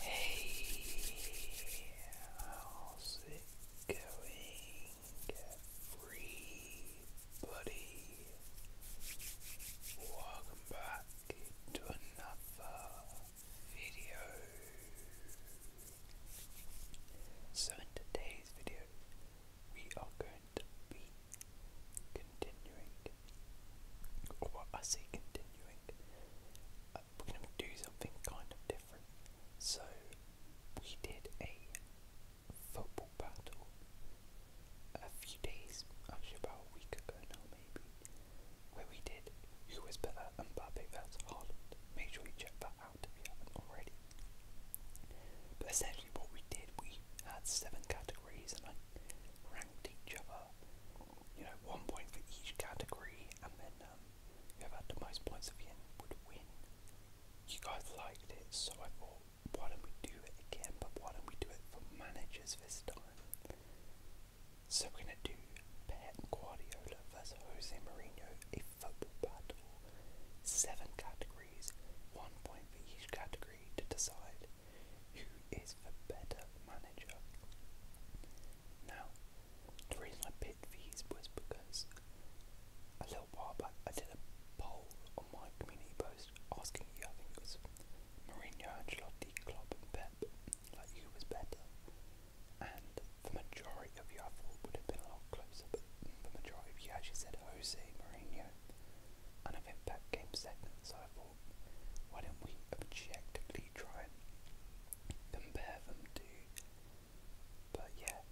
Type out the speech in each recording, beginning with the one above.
Hey, how's it going, everybody? Welcome back to another video. So, in today's video, we are going to be continuing, or I say continuing, we're going to do something kind of different. So, we did a football battle a few days, actually about a week ago now, maybe, where we did who was better, Mbappe versus Holland. Make sure you check that out if you haven't already. But essentially, what we did, we had seven categories and I ranked each other, you know, one point for each category, and then whoever um, had the most points at the end would win. You guys liked it, so I thought, why don't we do it again? But why don't we do it for managers this time? So we're gonna do Pep Guardiola versus Jose Mourinho, a football battle. Seven categories, one point for each category to decide who is the better manager. Now, the reason I picked these was because a little while back I did a poll on my community post asking you, I think was Mourinho, Ancelotti, Klopp and Pep, like who was better. And the majority of you I thought would have been a lot closer, but the majority of you actually said Jose Mourinho. And I think Pep came second, so I thought, why don't we objectively actually try and compare them to. But yeah,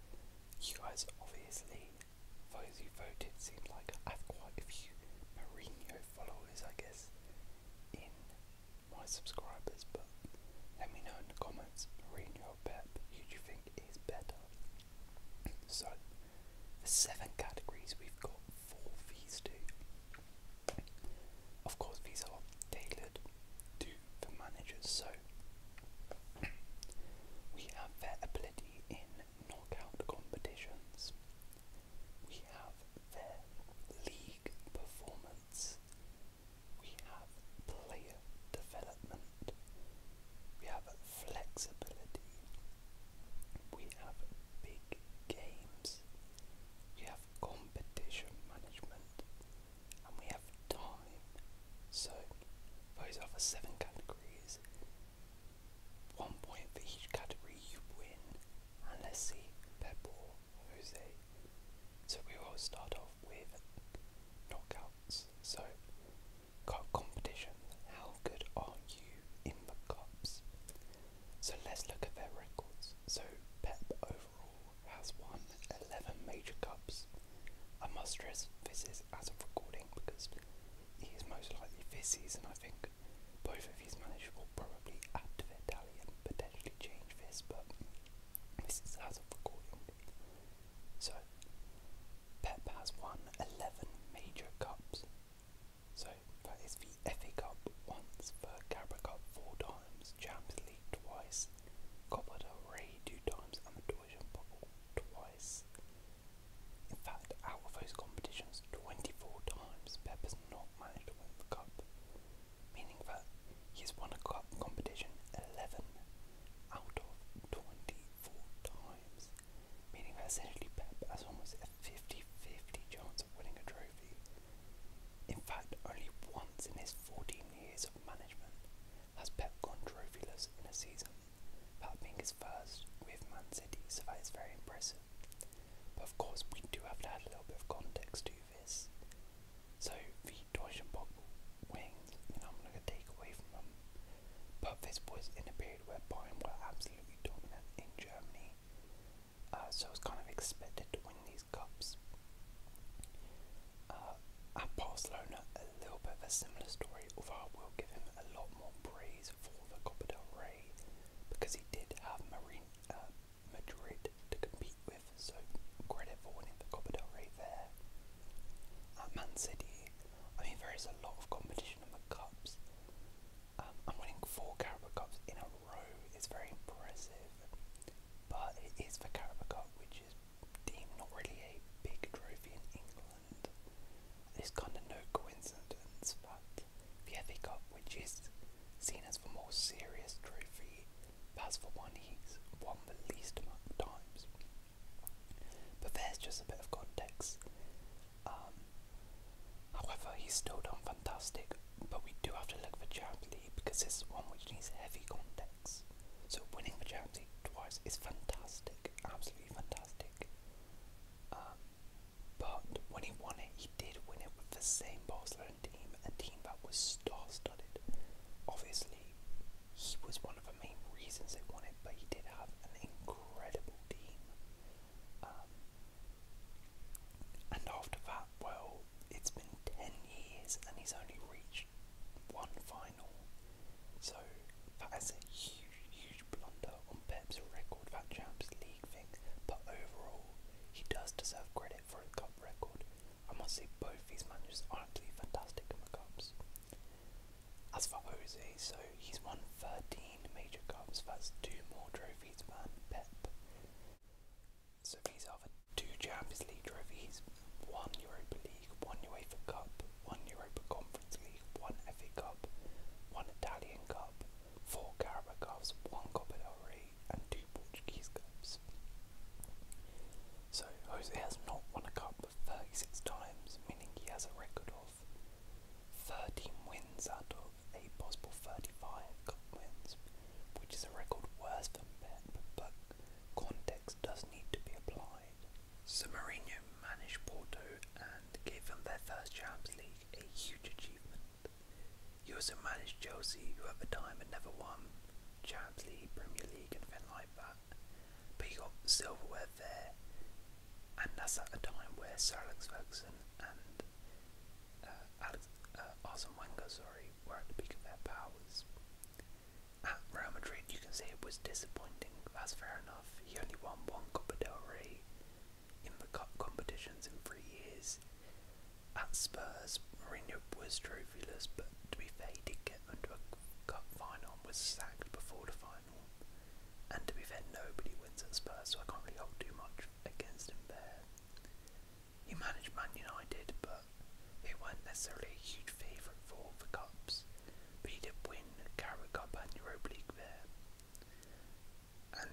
you guys obviously, those who voted, seem like I have quite a few Mourinho followers, I guess, in my subscribers. But let me know in the comments, Mourinho or Pep, who do you think is better? So, seven categories we've got for these two. Of course, these are tailored to the managers, so we have their ability in knockout competitions, we have their league performance, we have player development, we have flexibility, we have big games, we have competition management and we have time. So those are seven categories. One point for each category you win. And let's see Pep or Jose. So we will start off with knockouts. So competition. How good are you in the cups? So let's look at their records. So Pep over has won 11 major cups. I must stress this is as of recording because he is most likely this season, I think. Both of these managers will probably add to their tally and potentially change this, but this is as of recording. So, Pep has won 11 major cups. So, that is the FA Cup once, the Cup four times times, Champions League twice, Copa del Rey two times, and the Deutsche Pokal twice. In fact, out of those competitions, 24 times Pep has not managed to win the cup, meaning that he's won a cup competition 11 out of 24 times, meaning that essentially Pep has almost a 50 50 chance of winning a trophy. In fact, only once in his 14 years of management has Pep gone trophyless in a season, that being his first with Man City, so that is very impressive. But of course, we do have to add a little bit of context to this. So, the Deutsche wings, you know, I'm not going to take away from them, but this was in a period where Bayern were absolutely dominant in Germany, uh, so it was kind of expected to win these these cups. Uh, and Barcelona, a little bit of a similar story, although I will give him a lot more praise for the Copa del Rey because he did have Marine, uh, Madrid to compete with, so credit for winning the Copa del Rey there. At Man City, I mean, there is a lot of competition in the cups. Um, and winning four Carabao Cups in a row is very impressive but it is the Carabao Cup, which is deemed not really a big trophy in England. It's kind of no coincidence that the FA Cup, which is seen as the more serious trophy, that's the one he's won the least amount of times. But there's just a bit of context. Um, however, he's still done fantastic but we do have to look for Champions because this is one which needs heavy context. So winning the Champions twice is fantastic, absolutely fantastic. Um, but when he won it, he did win it with the same Barcelona team, a team that was star-studded. Obviously, he was one of the main reasons they won it, but he did have an incredible team. Um, and after that, well, it's been 10 years and he's only reached one final. So that is a huge, huge blunder on Pep's record, that Champions League thing. But overall, he does deserve credit for his cup record. I must say, both these managers are actually fantastic in the cups. As for Jose, so he's won 13 major cups, that's two more trophies than Pep. So these are two Champions League trophies, one Europa League, one UEFA Cup, one Europa Conference League, one FA Cup, one Italian Cup, four Carabao Cups, one Copa del Rey, and two Portuguese Cups. So Jose has not won a cup 36 times, meaning he has a record of 13 wins out of a possible 35 cup wins, which is a record worse than Pep, but context does need to be applied. So Mourinho managed Porto and gave them their first Champions League, a huge achievement. He also managed Chelsea, who at the time had never won Champions League, Premier League, anything like that. But he got silverware there, and that's at a time where Sir Alex Ferguson and uh, Alex, uh, Arsene Wenger, sorry, were at the peak of their powers. At Real Madrid, you can say it was disappointing. That's fair enough. He only won one Copa del Rey in the cup competitions in three years. At Spurs, Mourinho was trophyless, but to be fair, he did get them to a cup final and was sacked before the final. And to be fair, nobody wins at Spurs, so I can't really hold too much against him there. He managed Man United, but they weren't necessarily a huge favourite for the Cups. But he did win the Carrot Cup and Europa League there. And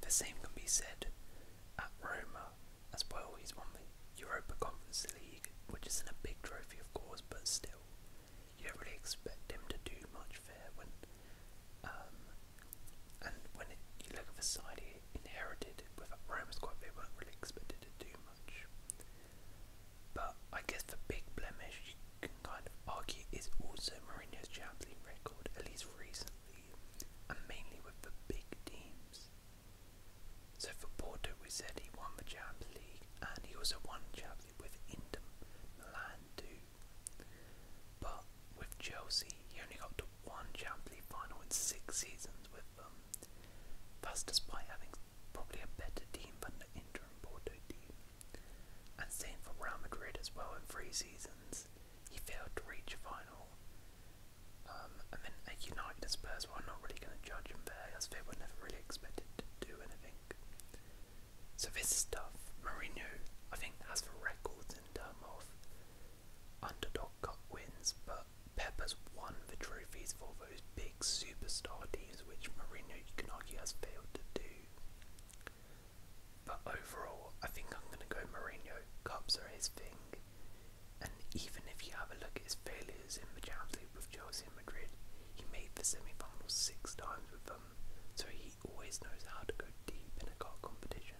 the same can be said at Roma as well. He's won the Europa Conference League, which isn't a big trophy, of course, but still, you don't really expect him to do much there when um, and when you look at the side he inherited with Rome's quite, they weren't really expected to do much. But I guess the big blemish you can kind of argue is also Mourinho's Champions League record, at least recently, and mainly with the big teams. So for Porto, we said he won the Champions League, and he also won Champions League with Inter Milan too. But with Chelsea, he only got to one Champions League final in six seasons with them. That's despite having probably a better team than the Inter and Porto team. And same for Real Madrid as well in three seasons. He failed to reach a final. Um, and then at United Spurs, well, I'm not really going to judge him there as they were never really expected to do anything. So this stuff, Mourinho, I think, has the records in terms of Underdog Cup wins, but Peppers won the trophies for those big superstar teams which Marino Ignagi has failed to do. But overall, I think I'm going to go Mourinho. Cups are his thing. And even if you have a look at his failures in the Champions League with Chelsea and Madrid, he made the semi-final six times with them, so he always knows how to go deep in a cup competition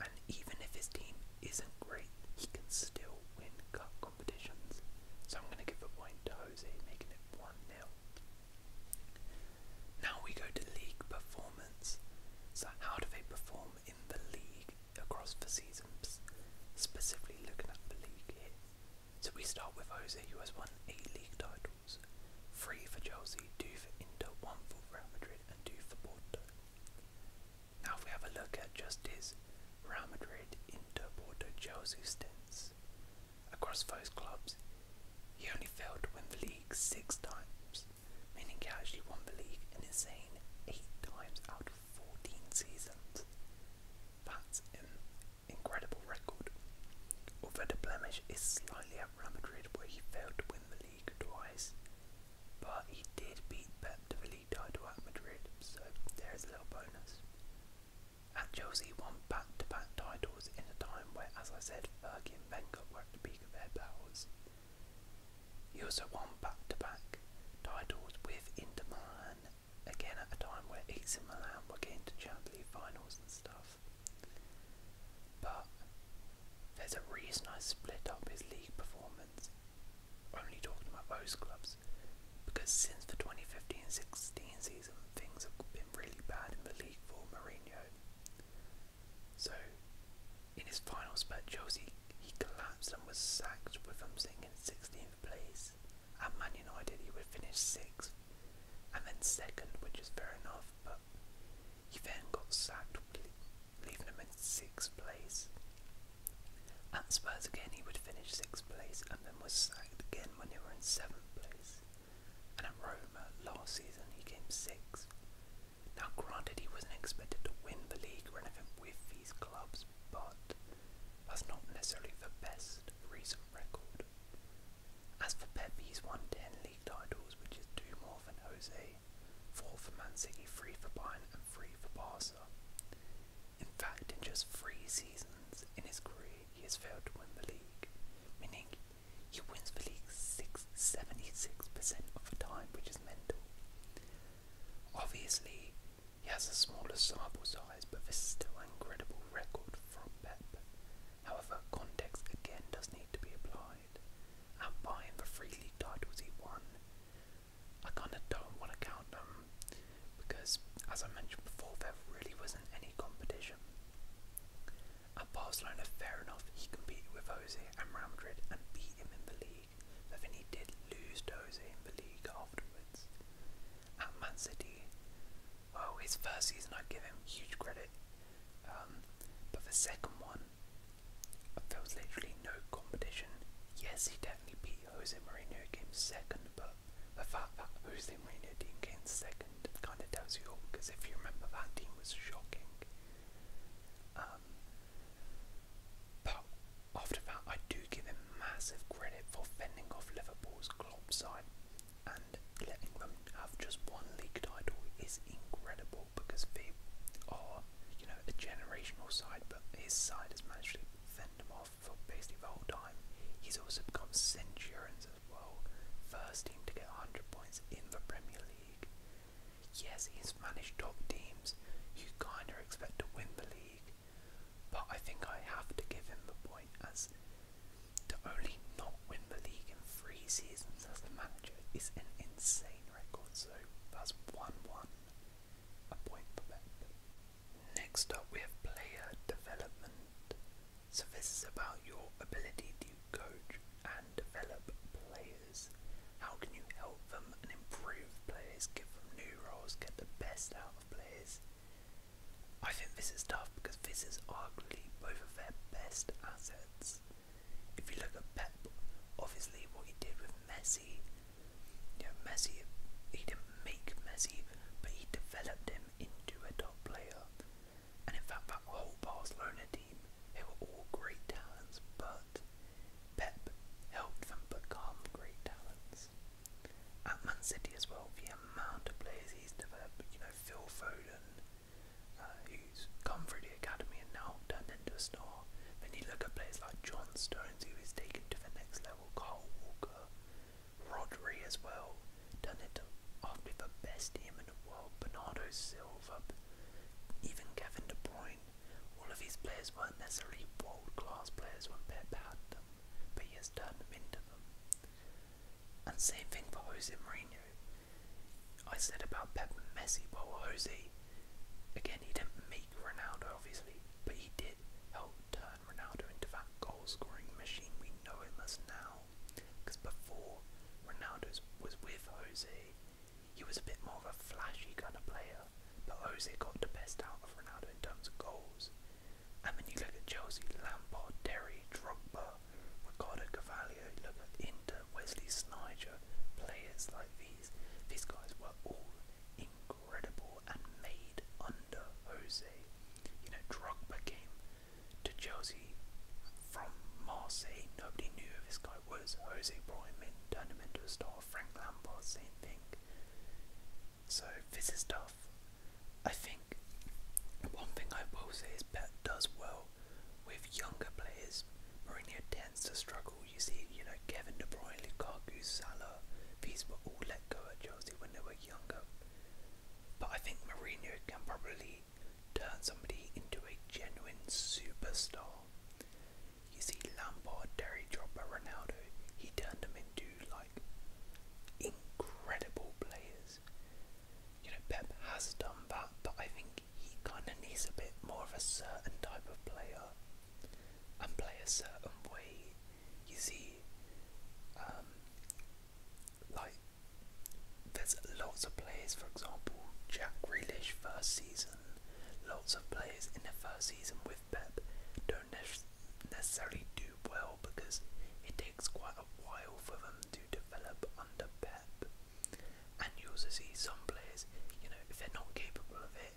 and even if his team isn't great, he can still win cup competitions. So I'm going to give a point to Jose, making it 1 0. Now we go to league performance. So, how do they perform in the league across the seasons? Specifically looking at the league here. So, we start with Jose, who has won 8 league titles 3 for Chelsea, 2 for Inter, 1 for Real Madrid, and 2 for Porto. Now, if we have a look at just his Real Madrid, Inter, Porto, Chelsea stints across those clubs, he only failed to win the league six times, meaning he actually won the league an insane eight times out of 14 seasons. That's an incredible record. Although the blemish is slightly at Real Madrid, where he failed to win the league twice, but he did beat Pep de Villito at Madrid, so there is a little bonus. At Chelsea, won back-to-back titles in a time where, as I said, Fergie and Wenger were at the peak of their powers. He also won back-to-back titles with Inter Milan, again at a time where AC Milan were getting to Champions League finals and stuff. But there's a reason I split up his league performance, only talking about those clubs, because since the 2015-16 season, things have been really bad in the league for Mourinho. So, in his final spurt, Chelsea he collapsed and was sacked with him sitting in 16th place. At Man United, he would finish sixth and then second, which is fair enough, but he then got sacked, leaving him in sixth place. At Spurs again, he would finish sixth place and then was sacked again when they were in seventh place. And at Roma last season, he came sixth. Now, granted, he wasn't expected to win the league or anything with these clubs, but that's not necessarily the best recent record. As for Pep, he's won 10 league titles, which is two more than Jose, Four for Man City, three for Bayern, and three for Barca. In fact, in just three seasons in his career, he has failed to win the league, meaning he wins the league six, 76% of the time, which is mental. Obviously, he has a smaller sample size, but this is still an incredible record from Pep. However, context again does need to be applied side and buying the three league titles he won. I kind of don't want to count them because, as I mentioned before, there really wasn't any competition. At Barcelona, fair enough, he competed with Jose and Real Madrid and beat him in the league, but then he did lose to Jose in the league afterwards. At Man City, well, oh, his first season I give him huge credit, um, but the second one there was literally no competition. Yes, he definitely beat Jose Mourinho came second, but the fact that Jose Mourinho team came second kind of tells you because if you remember, that team was shocking. Um, but after that, I do give him massive credit for fending off Liverpool's club side, and letting them have just one league title is incredible because they are you know, a generational side, but his side has managed to fend him off for basically the whole time. He's also become centurions as well, first team to get 100 points in the Premier League. Yes, he's managed top teams you kind of expect to win the league, but I think I have to give him the point as to only not win the league in three seasons as the manager is an insane record, so that's 1 1, a Next up, we have player development. So, this is about your ability to coach and develop players. How can you help them and improve players, give them new roles, get the best out of players? I think this is tough because this is arguably both of their best assets. If you look at Pep, obviously what he did with Messi, you know, Messi, he didn't make Messi, but he developed him into a top player. And in fact, that whole Barcelona team, they were all great talents, but Pep helped them become great talents. At Man City as well, the amount of players he's developed, you know, Phil Foden, uh, who who's come through the academy and now turned into a star. Then you look at players like John Stones, who is taken to the next level, Carl Walker, Rodri as well, done it after the best team in the world, Bernardo Silva, even Kevin De Bruyne. All of these players weren't necessarily world class players when Pep had them, but he has turned them into them. And same thing for Jose Mourinho. I said about Pep and Messi, well, Jose, again, he didn't make Ronaldo, obviously, but he did help turn Ronaldo into that goal-scoring machine we know him as now. Because before Ronaldo was with Jose, he was a bit more of a flashy kind of player, but Jose got the best out of Ronaldo in terms of goals. And when you look at Chelsea, Lampard, Terry, Drogba, Ricardo Cavallo, you look at Inter, Wesley Snyder, players like these these. These guys were all incredible and made under Jose. You know, Drogba came to Chelsea from Marseille. Nobody knew who this guy was. Jose brought him in, turned him into a star. Frank Lampard, same thing. So this is tough. I think one thing I will say is Pep does well with younger players. Mourinho tends to struggle, you see, you know, Kevin De Bruyne, Lukaku, Salah, these were all let go at Chelsea when they were younger. But I think Mourinho can probably turn somebody into a genuine superstar. You see, Lampard, Derry Dropper, Ronaldo, he turned them into like incredible players. You know, Pep has done that, but I think he kind of needs a bit more of a certain type of player her and play a certain way. You see, um, like there's lots of players. For example, Jack Grealish first season. Lots of players in their first season with Pep don't ne necessarily do well because it takes quite a while for them to develop under Pep. And you'll also see some players, you know, if they're not capable of it,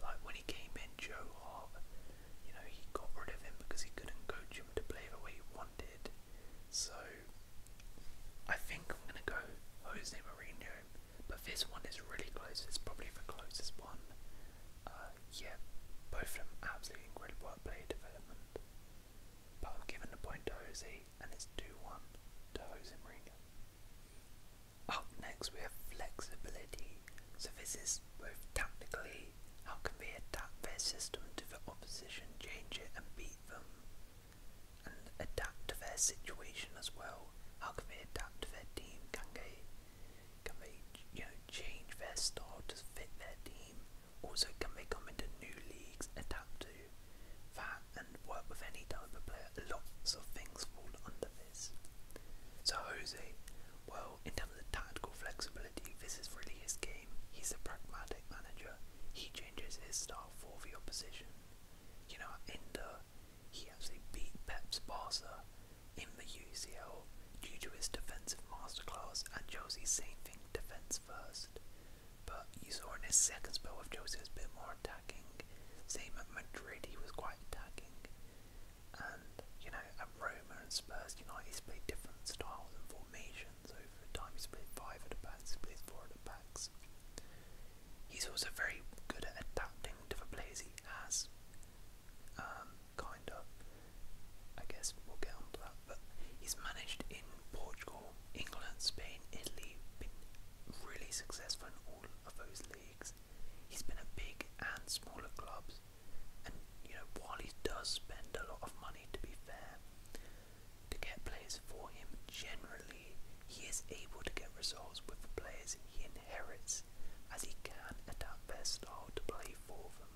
like when he came in, Joe Hart, you know, he got rid of him because he couldn't coach him to play the way he wanted. So I think I'm gonna go Jose Mourinho, but this one is really close. It's probably the closest one. Uh, yeah, both of them absolutely incredible at player development. But I'm giving the point to Jose, and it's 2 1 to Jose Mourinho. Up next we have flexibility. So this is both tactically, how can we adapt their system to the opposition, change it and beat them? And adapt to their situation as well. How can they adapt to their team? Can they can they you know change their style to fit their team? Also can they come into new leagues, adapt to that and work with any type of player. Lots of things fall under this. So Jose, well, in terms of tactical flexibility, this is really his game. He's a pragmatic manager. He changes his style for the opposition. You know, in he actually beat Pep's Barca in the UCL due to his defensive masterclass and Jose's same thing defence first. But you saw in his second spell with Jose, was a bit more attacking same at Madrid, he was quite attacking. And, you know, at Roma and Spurs, United he's played different styles and formations over time. He's played five at the backs, he plays four at the backs. He's also very good at adapting to the players he has. Um, kind of. I guess we'll get on to that. But he's managed in Portugal, England, Spain, Italy, been really successful in all of those leagues. He's been at big and smaller clubs, and you know while he does spend a lot of money, to be fair, to get players for him, generally he is able to get results with the players he inherits, as he can adapt their style to play for them.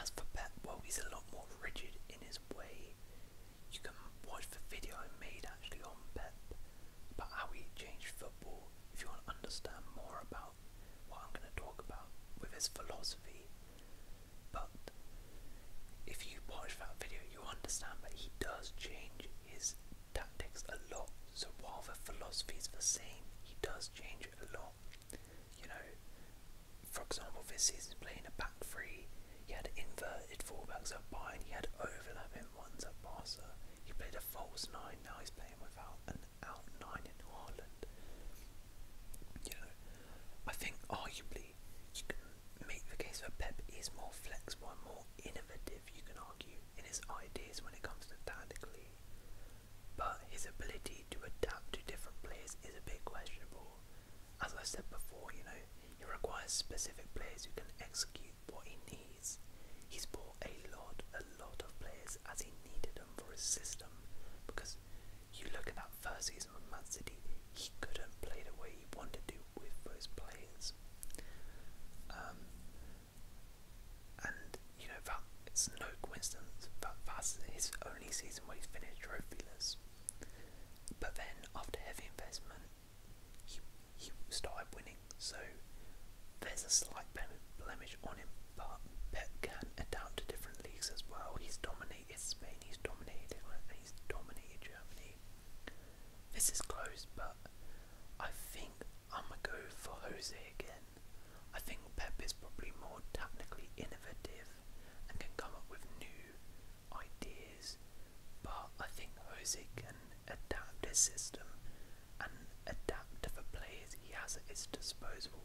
As for Pep, well, he's a lot more rigid in his way you can watch the video I made actually on Pep about how he changed football if you want to understand more about what I'm going to talk about with his philosophy. But if you watch that video, you understand that he does change his tactics a lot. So while the philosophy is the same, he does change it a lot. You know, for example, this season playing a back three, he had inverted fullbacks at by and he had overlapping ones at Barca. He played a false nine, now he's playing without an out nine in Haaland. You know, I think arguably you can make the case that Pep is more flexible and more innovative, you can argue, in his ideas when it comes to tactically. But his ability to adapt to different players is a bit questionable. As I said before, you know, he requires specific players who can execute what he needs. He's bought a lot, a lot of players as he needed them for his system. Because you look at that first season with Man City, he couldn't play the way he wanted to with those players. Um, and you know that it's no coincidence that that's his only season where he finished trophyless. But then after heavy investment, he, he started winning, so there's a slight blemish on him, but Pep can adapt to different leagues as well. He's dominated Spain, he's dominated England, he's dominated Germany. This is close, but I think i go for Jose again. I think Pep is probably more technically innovative and can come up with new ideas, but I think Jose can adapt his system and adapt to the players he has at his disposal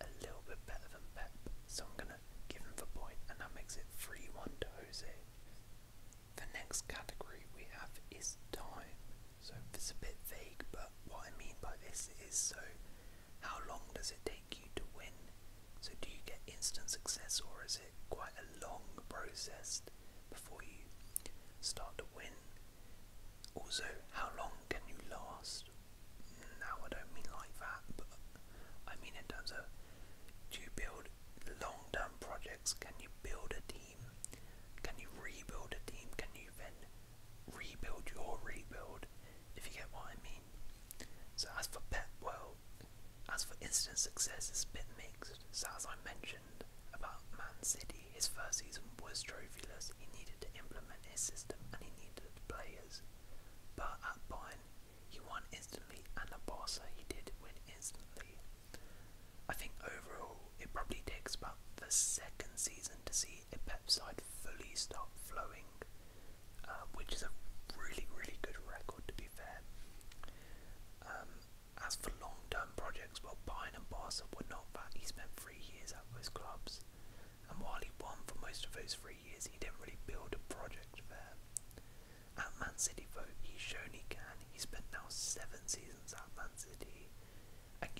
a little bit better than Pep. So I'm going to give him the point, and that makes it 3 1 to Jose. The next category we have is time. So it's a bit vague, but what I mean by this is so how long does it take you to win? So do you get instant success or is quite a long process before you start to win. Also, how long can you last? Now, I don't mean like that, but I mean in terms of do you build long term projects? Can you build a team? Can you rebuild a team? Can you then rebuild your rebuild? If you get what I mean. So, as for Pep, well, as for instant success, it's a bit mixed. So, as I mentioned about Man City, his first season was trophyless. He needed to implement his system and he needed players. But at Bayern, he won instantly, and at Barca, he did win instantly. I think overall, it probably takes about the second season to see a Pep side fully start flowing, uh, which is a really, really good record to be fair. Um, as for long-term projects, well, Pine and Barca were not that. He spent three years at those clubs, and while he won for most of those three years, he didn't really build a project there. At Man City, though, he's shown he can. He spent now seven seasons at Man City. And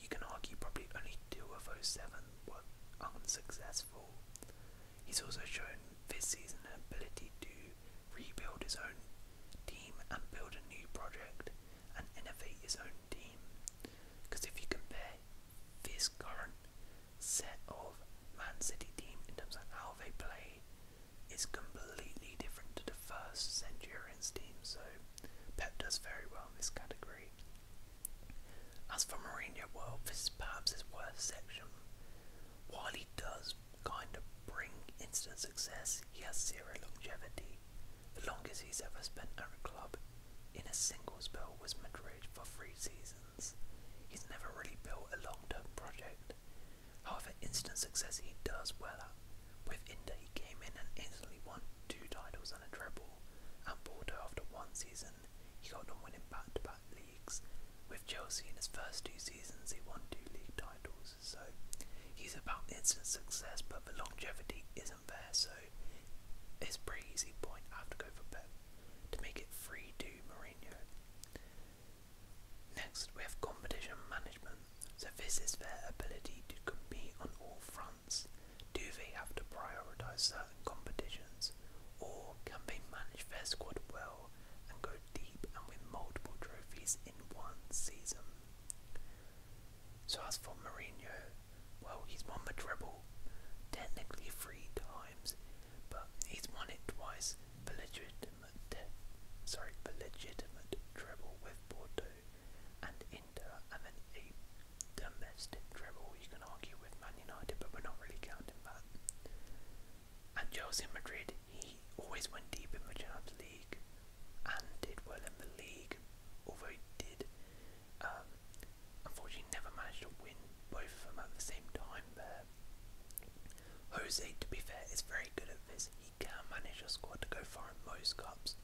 you can argue probably only two of those seven were unsuccessful. He's also shown this season an ability to rebuild his own team and build a new project and innovate his own team. Because if you compare this current set of Man City team in terms of how they play, it's completely different to the first Centurions team, so Pep does very well in this category. As for Mourinho, well, this is perhaps his worst section. While he does kind of bring instant success, he has zero longevity. The longest he's ever spent at a club in a single spell was Madrid for three seasons. He's never really built a long term project. However, instant success he does well at. With Inter, he came in and instantly won two titles and a treble. And Porto, after one season, he got them winning back to back league with Chelsea in his first two seasons, he won two league titles, so he's about instant success, but the longevity isn't there, so it's a pretty easy point. I have to go for Pep to make it 3 2 Mourinho. Next, we have competition management. So, this is their ability to compete on all fronts. Do they have to prioritise certain competitions, or can they manage their squad well and go deep and win multiple trophies in one season. So as for Mourinho, well, he's won the treble, technically three times, but he's won it twice. sorry, the treble with Porto and Inter, and then a domestic treble. You can argue with Man United, but we're not really counting that and Jose in Madrid, he always went deep in the Champions League and did well in the league, although he did um, unfortunately never managed to win both of them at the same time there. Jose, to be fair, is very good at this. He can manage a squad to go far in most cups.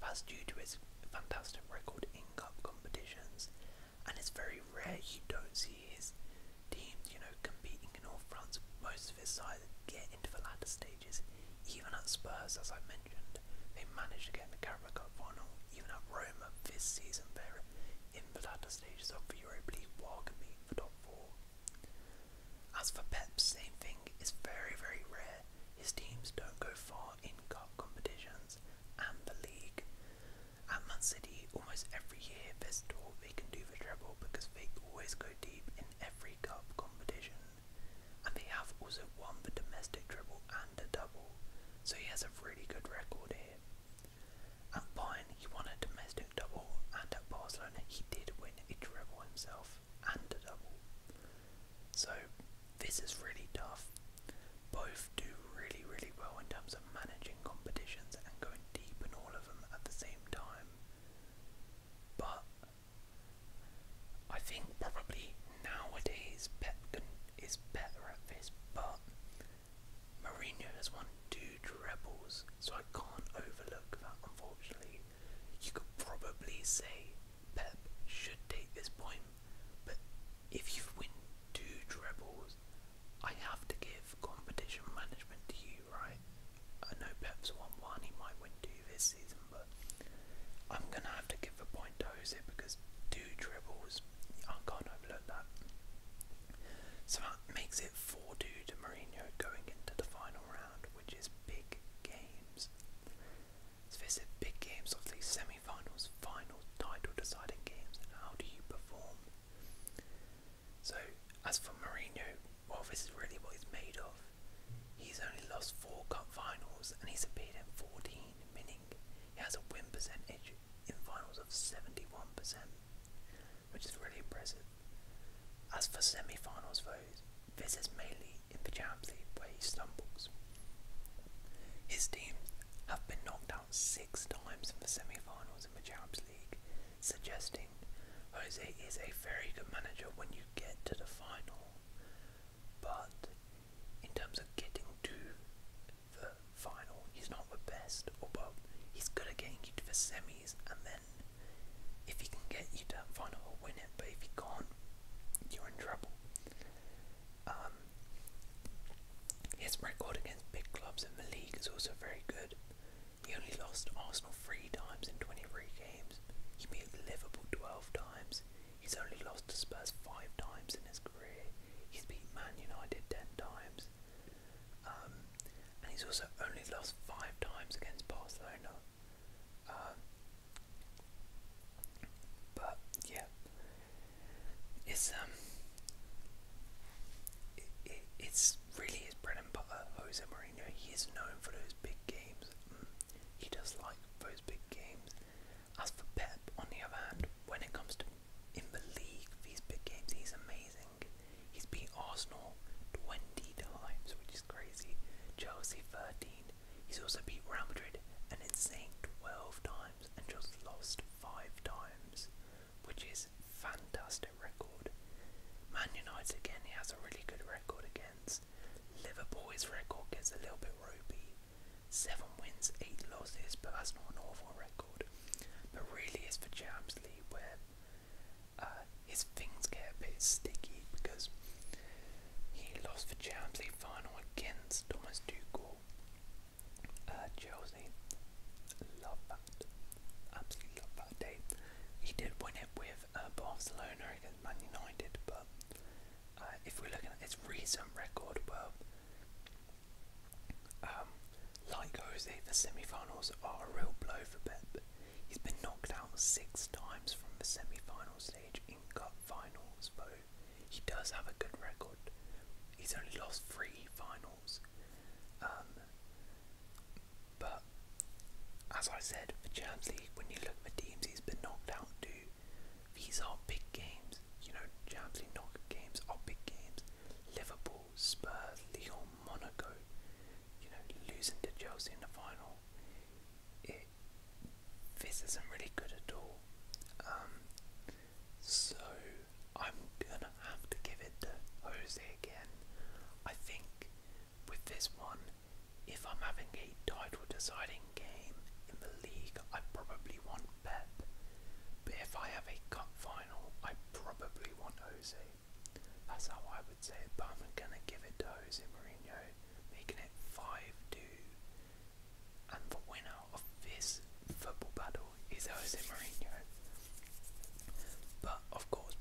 That's due to his fantastic record in cup competitions, and it's very rare you don't see years, teams, you know, competing in all fronts, most of his sides get into the latter stages. Even at Spurs, as I mentioned, they managed to get in the Carabao Cup final. Even at Roma this season, they're in the latter stages of the Europa League while competing for top four. As for Pep, same thing. It's very, very rare. His teams don't go far in cup competitions and the league. At Man City, almost every year, there's talk they can do do for treble because they always go deep in every cup competition. And they have also won the domestic treble and a double, so he has a really good record here. At Bayern, he won a domestic double, and at Barcelona, he did win a treble himself and a double. So, this is really tough. Both do really, really well in terms of managing competitions and going deep in all of them at the same time. But I think probably nowadays Pep is better at this, but Mourinho has won two trebles, so I can't overlook that unfortunately. You could probably say Pep should take this point, but if you win two trebles, I have to give competition management to you, right? I know Pep's won one, he might win two this season, but I'm going to have to give a point to Jose because two dribbles, I can't overlook that. So that makes it 4 2 to Mourinho going into the final round, which is big games. So this is big games of the semi finals, final title deciding games. How do you perform? So, as for Mourinho, well, this is really what he's made of. He's only lost four cup finals and he's appeared in 14, meaning he has a win percentage in finals of 71%, which is really impressive. As for semi finals, though, this is mainly in the Champions League where he stumbles. His teams have been knocked out six times in the semi finals in the Champions League, suggesting Jose is a very good manager when you get to the final, but in terms of getting to the final, he's not the best, although he's good at getting you to the semis, and then if he can get you to the final, he'll win it, but if he can't, you're in trouble. Um, his record against big clubs in the league is also very good. He only lost Arsenal three times in 23 games. He beat Liverpool 12 times. He's only lost to Spurs five times in his career. He's beat Man United 10 times. Um, and he's also only lost five times against Barcelona. Um, but yeah, it's um, it, it, it's really his bread and butter, Jose Mourinho. Mourinho, he is known for those big games. Mm, he does like those big games. As for Pep, on the other hand, when it comes to in the league, these big games, he's amazing. He's beat Arsenal 20 times, which is crazy. Chelsea 13. He's also beat Real Madrid an insane 12 times and just lost 5 times, which is fantastic record. Man United again, he has a really good record against. Liverpool, his record gets a little bit ropey. Seven wins, eight losses, but that's not an awful record. But really, it's for Champions League where uh, his things get a bit sticky because he lost the Champions League final against Thomas Tuchel. Uh, Chelsea, love that. Absolutely love that day. He did win it with uh, Barcelona against Man United, but uh, if we're looking at his recent record, well, um, like Jose, the semi-finals are a real blow for Pep. He's been knocked out six times from the semi-final stage in cup finals, though he does have a good record. He's only lost three finals, um, but as I said, for Champions League, when you look at the teams he's been knocked out too. these are big games. You know, Champions League knockout games are big games. Liverpool, Spurs, Lyon, Monaco. You know, losing to Chelsea in the final. this isn't really good at all. Um, so I'm gonna have to give it to Jose again. I think with this one, if I'm having a title deciding game in the league, I probably want Pep. But if I have a cup final, I probably want Oz. That's how I would say it, but I'm gonna give it to Jose Mourinho, making it 5-2. And the winner of this football battle is Jose Mourinho. But of course,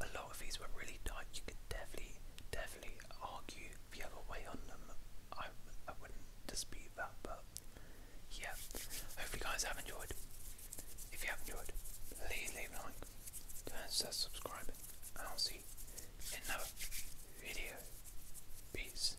a lot of these were really tight. You could definitely, definitely argue the other way on them. I, I wouldn't dispute that, but yeah. Hopefully, you guys have enjoyed. If you have enjoyed, please leave a like, consider subscribing, and I'll see in another video. Peace.